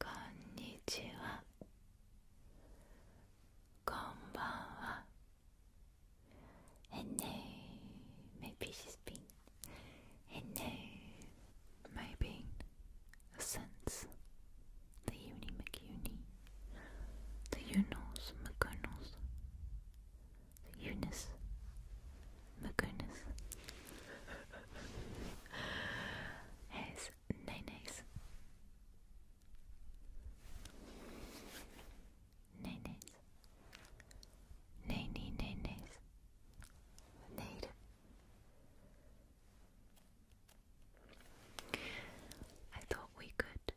こんにちはこんばんは And maybe she's been And maybe since the uni McUni the Unos McConnells Eunice Magunas has nenes. Nenes. Nene nenes. Nade. I thought we could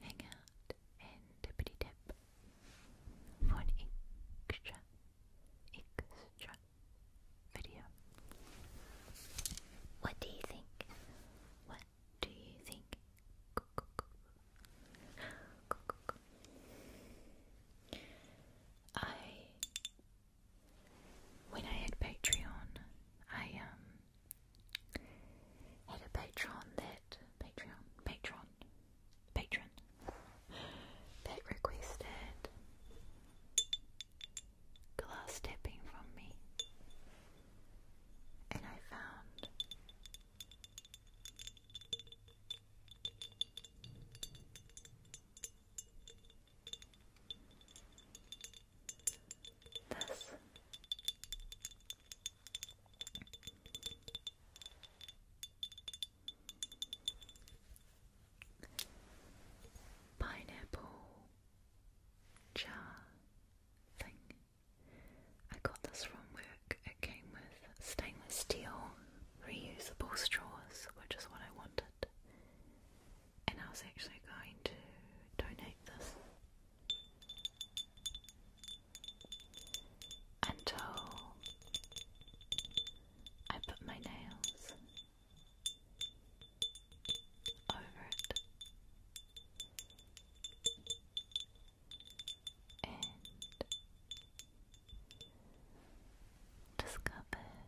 hang out and tippity tip for extra, extra video. What do you think? What do you think? I, when I had Patreon, I um had a Patreon that Patreon, Patreon, patron that requested glass tapping from me, and I found this. Pineapple jar thing. I got this from work. It came with stainless steel reusable straws, which is what I wanted. And I was actually going to donate this until I put my nails over it and discovered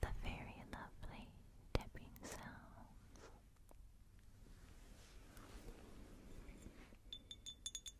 the very lovely tapping sounds.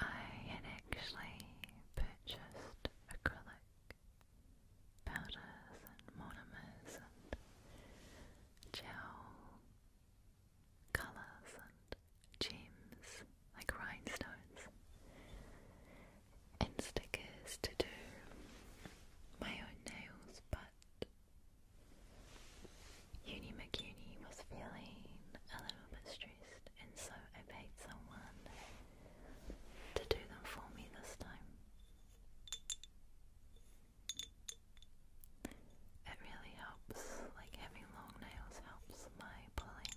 I had actually purchased acrylic powders and monomers and gel colours and gems like rhinestones and stickers to do my own nails days, but Uni McUni was feeling a little bit stressed, and so I paid someone to do them for me this time. It really helps, like having long nails helps my pulling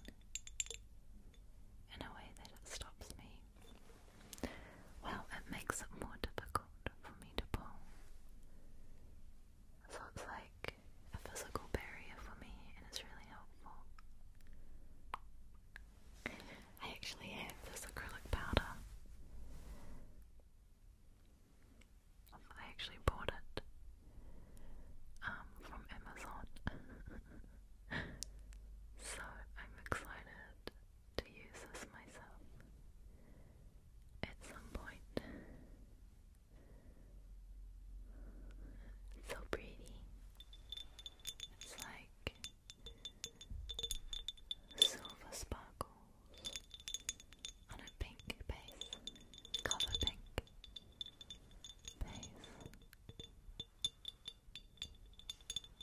in a way that stops me well, it makes it more difficult for me to pull. So it's like a physical barrier for me, and it's really helpful. I actually have this acrylic powder. I actually bought it um, from Amazon. so I'm excited to use this myself at some point. so pretty. It's like silver sparkles on a pink base, color pink base.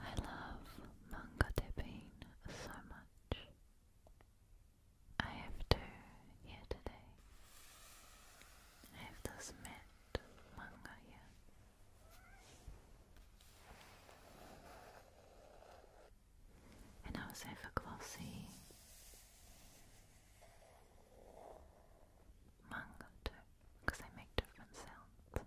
I love manga dipping so much. I have two here today. I have this matte manga here and also for glossy manga too, because they make different sounds.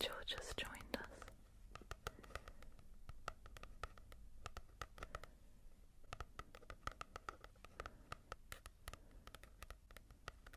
George has joined us.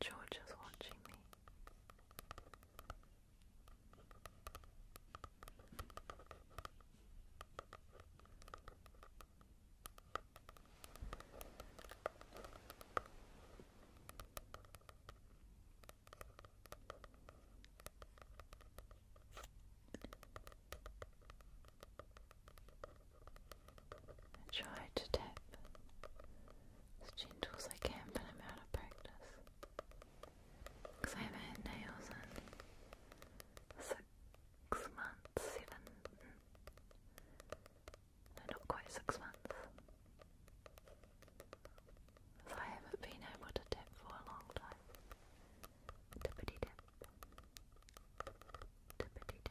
George is watching me. I try to tap as gentle as I can, but I'm out of practice because I haven't had nails in six months, seven they're not quite six months. I haven't been able to dip for a long time. Dippity dip. Dippity dip.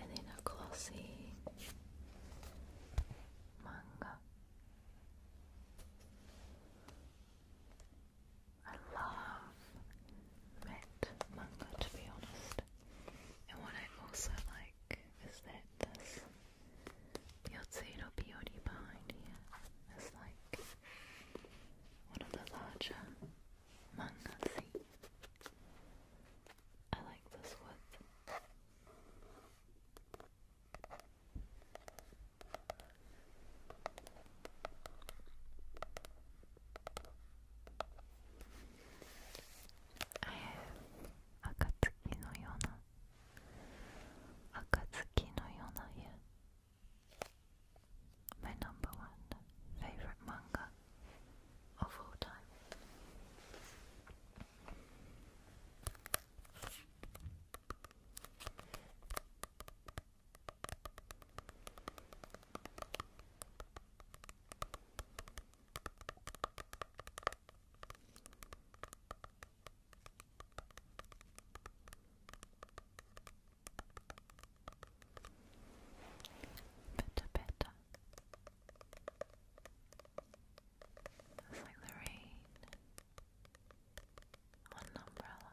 and then a glossy manga. I love matte manga to be honest. And what I also like is that this Yotsiro behind here is like one of the larger manga things. I like this wood. I have Akatsuki no Yona. Akatsuki no Yona here. My number one favorite manga of all time. But a better just like the rain on an umbrella.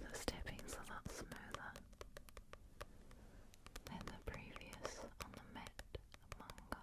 The stepping's a lot smoother than the previous on the mat manga.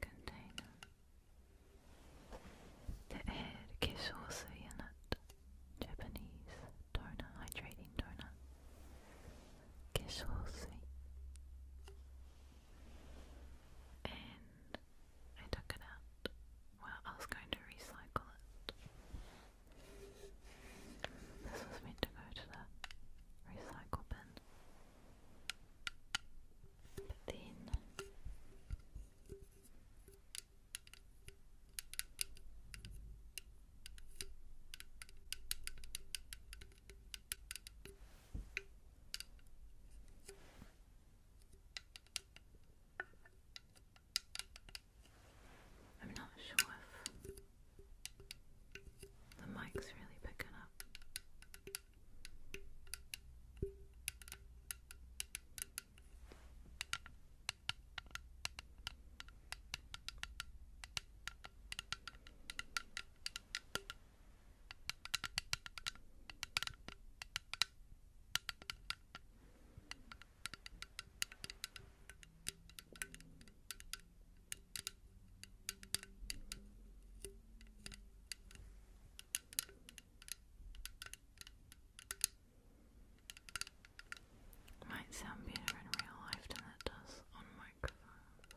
container. The air kisosu unit, Japanese donor, hydrating donor. Kisosu. And I took it out. Well, I was going to recycle it. This was meant to go to the recycle bin. But then I'm not sure if the mic's really picking up. Might sound better in real life than it does on microphones.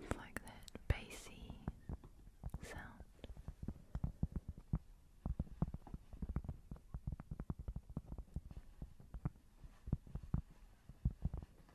It's like that bassy sound.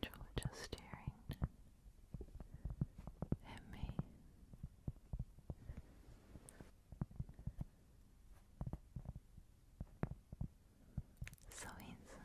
Georgia staring at me. So handsome.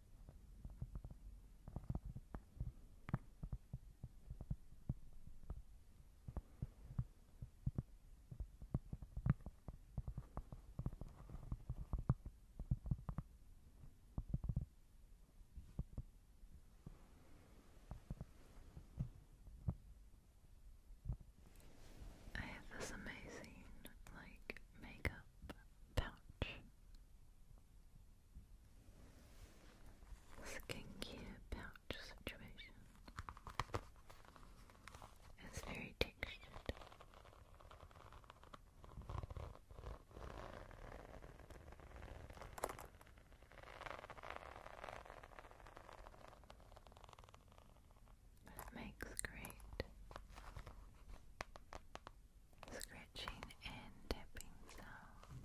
I have this amazing, like, makeup pouch skincare pouch situation. It's very textured. That makes great scratching and tapping sound.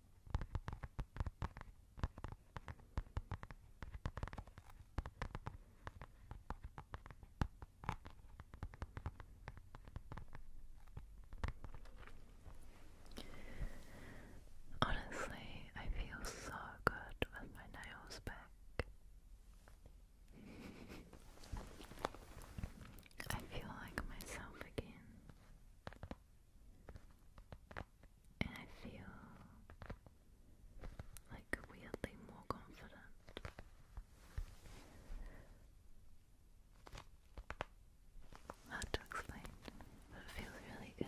Honestly, I feel so good with my nails back. I feel like myself again and I feel like weirdly more confident. Hard to explain, but it feels really good.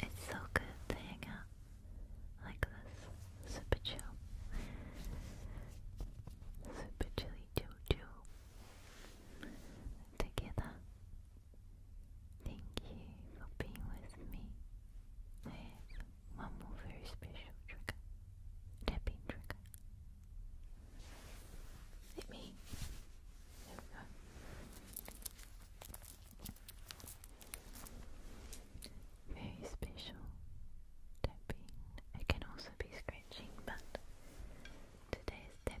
It's so good to out like this. Super chill. Super chilly chill chill. Together. Thank you for being with me. I one more very special trigger. Tapping trigger. Hit me. There we go. Very special tapping. It can also be scratching, but today is tapping.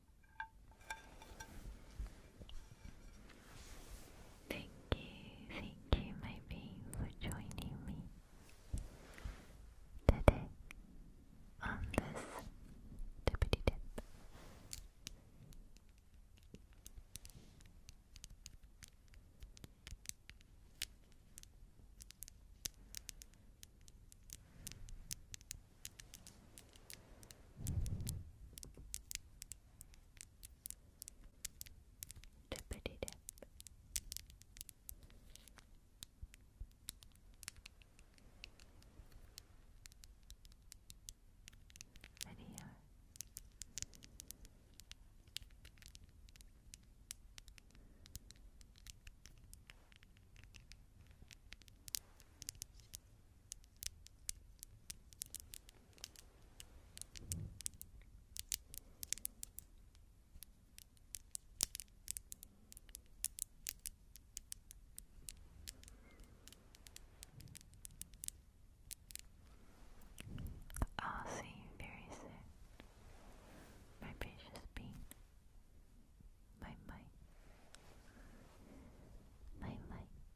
Thank you, thank you, my being, for joining me today on this tippity Dippity dip. Video. I'll see you very soon, my precious bean, my might, my light.